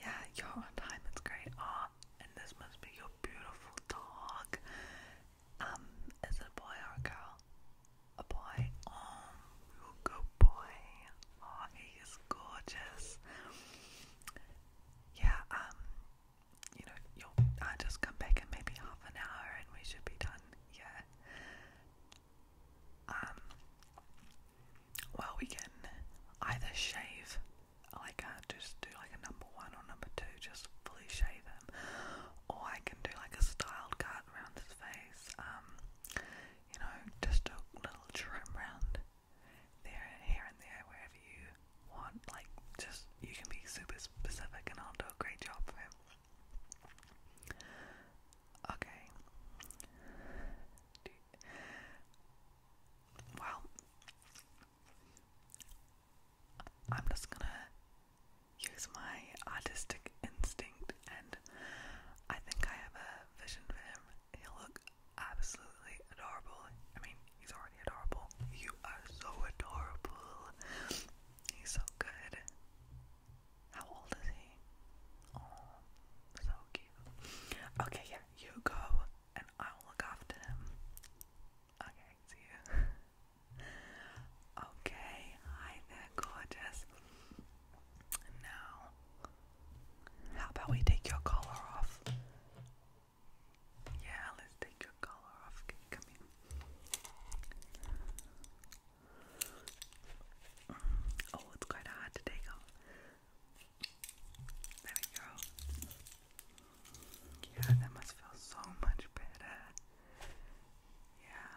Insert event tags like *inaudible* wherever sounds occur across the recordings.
Yeah, you're on time. It's great. Ah, and this must be your beautiful dog. Um, is it a boy or a girl? A boy. Oh, good boy. Oh, he is gorgeous. Yeah. Um, you know, you'll. I just come back in maybe half an hour, and we should be done. Yeah. Um, well, we can either shave, like uh, just do like a number one or number two, just fully shave him, or I can do like a styled cut around his face, um, you know, just a little trim around there, here and there, wherever you want. Like, just you can be super specific, and I'll do a great job for him. Okay. Well, I'm just gonna use my artistic instinct, and I think I have a vision for him. He'll look absolutely adorable. I mean, he's already adorable. You are so adorable. He's so good. How old is he? Oh, so cute. Okay, yeah, you go and I'll look after him. Okay, see you. *laughs* okay, hi there, gorgeous. Now, how about we take your collar off? Yeah, let's take your collar off. Oh, it's quite hard take off. There we go. Yeah, that must feel so much better. Yeah.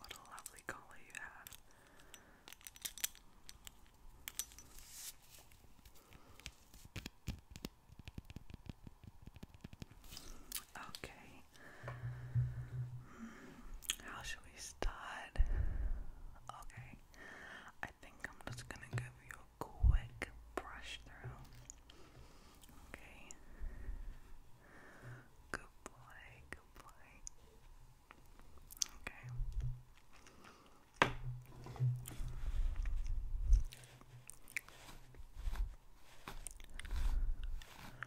What a lovely color you have. Okay, Hmm, how should we start? Okay, I think I'm just gonna give you a quick brush through. Okay, good boy, good boy. Okay.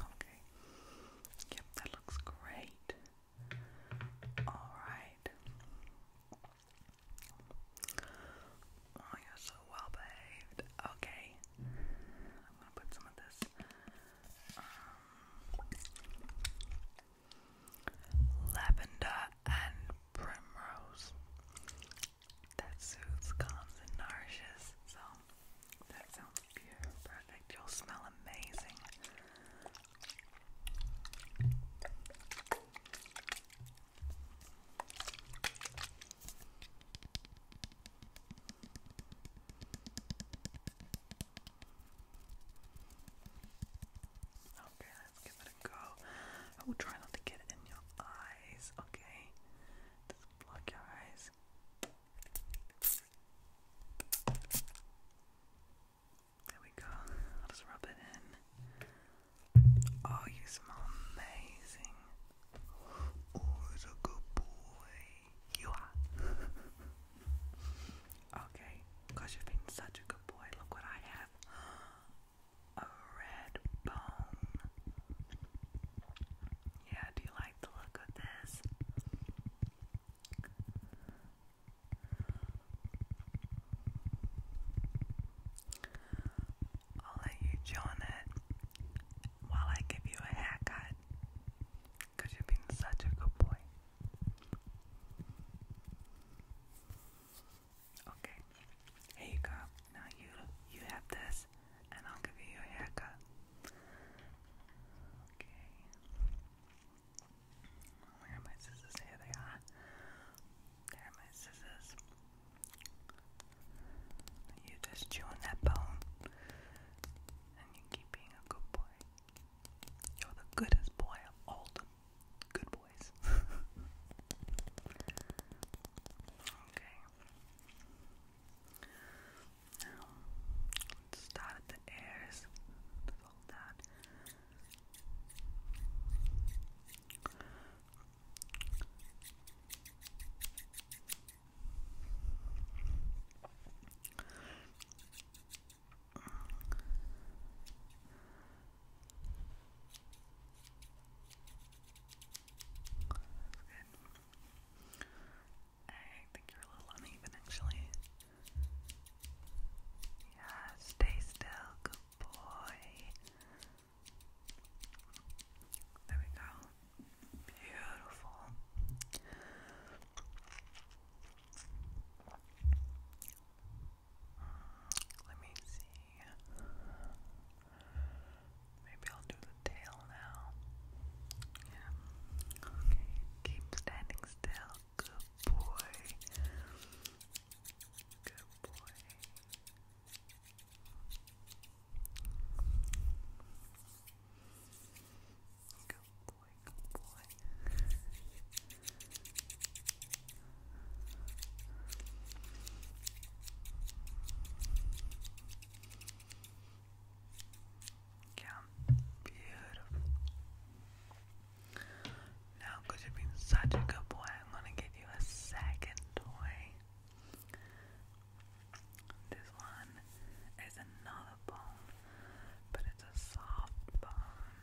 Okay. Yep, that looks great. All right. Oh, you're so well behaved. Okay. I'm gonna put some of this um, lavender and primrose that soothes, calms, and nourishes. So that sounds pure perfect. You'll smell amazing. Okay, let's give it a go. I will try not to get in your eyes, okay? Just block your eyes. There we go. I'll rub it in. Oh, you smell amazing. You are. *laughs* okay, because you've been such a good boy. Look what I have. A red bone. Yeah, do you like the look of this? I'll let you join it while I give you a haircut. Because you've been such a good boy. Okay, here you go. Now you you have this, and I'll give you your haircut. Okay. Where are my scissors? Here they are. There are my scissors. You just chew on that bone and you keep being a good boy. You're the goodest boy of all the good boys. *laughs* okay. Now, start the ears. Let's that. I think you're a little uneven actually. Yeah, stay still, good boy. There we go. Beautiful. Let me see. Maybe I'll do the tail now. Yeah. Okay. Keep standing still. Good boy. Good boy. Good boy, good boy. Yeah, beautiful. Now, you've been such a good boy, I'm gonna give you a second toy. This one is another bone, but it's a soft bone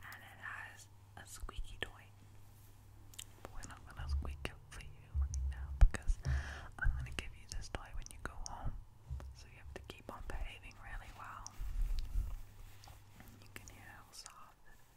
and it has a squeaky toy. we're not gonna squeak it for you right now because I'm gonna give you this toy when you go home. So you have to keep on behaving really well. You can hear how soft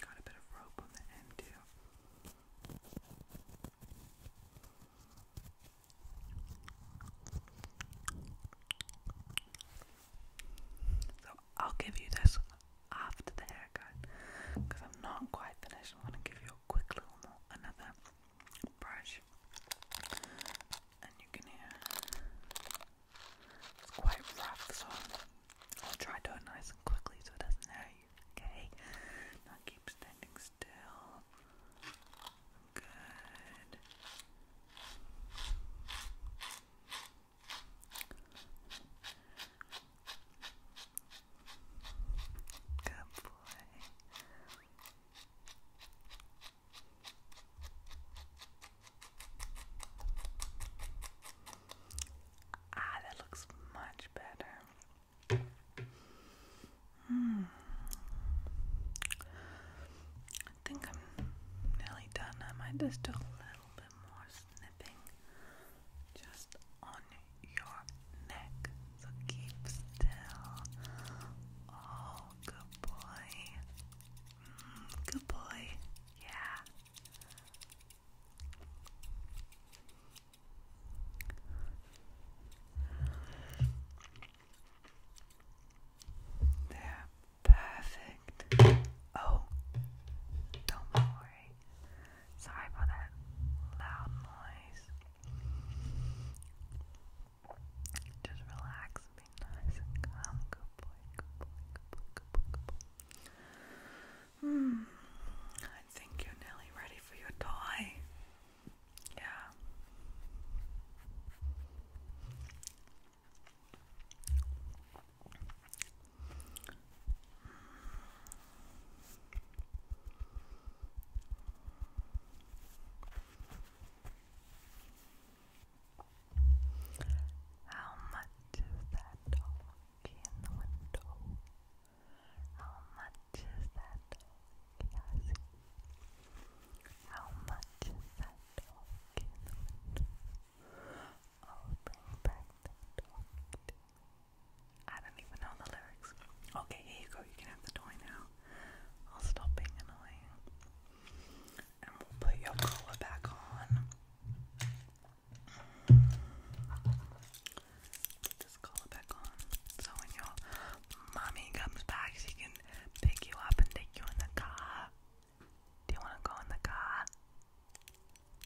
Got a bit of rope on the end, too. So I'll give you this after the haircut because I'm not quite finished. I'm to give you a quick little more, another brush, and you can hear. It's quite rough, so I'll try to do it nice and quickly so it doesn't hurt you, okay? Now keep standing still. Good. Good boy. Ah, that looks much better. Hmm. I think I'm nearly done. I might just do a little bit more snipping just on your neck. So keep still. Oh, good boy good boy. Yeah. There. Perfect. Oh, don't worry. Sorry about that loud noise. Just relax, be nice and calm. Good boy, good boy, good boy, good boy, good boy. Hmm. I think you're nearly ready for your toy. Yeah. How much is that dog in the window? How much is that dog? How much is that dog in the window? Oh, bring I don't even know the lyrics. Okay, here you go. You can have the toy now. I'll stop being annoying and we'll put your collar back on. Put collar back on. So when your mommy comes back, she can pick you up and take you in the car? Do you want to go in the car?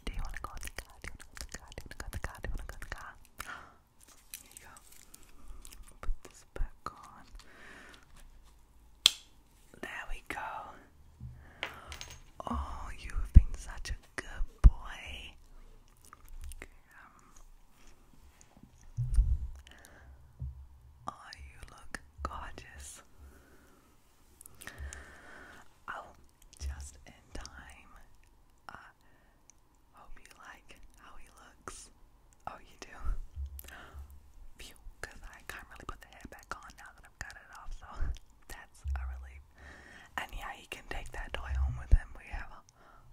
Do you want to go in the car? Do you want to go in the car? Do you want to go in the car? Here you go. Put this back on. There we go. Oh, you've been such a good boy. oh, you look gorgeous. Oh, just in time. hope you like how he looks. Oh, you do? Phew, because I can't really put the head back on now that I've got it off, so *laughs* that's a relief. And yeah, he can take that toy home with him. We have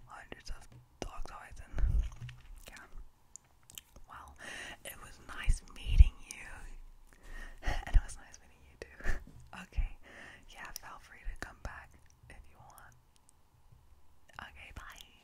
hundreds of dog toys, and yeah. Well, it was nice meeting you. *laughs* and it was nice meeting you too. *laughs* okay, yeah, feel free to come back if you want. Okay, bye.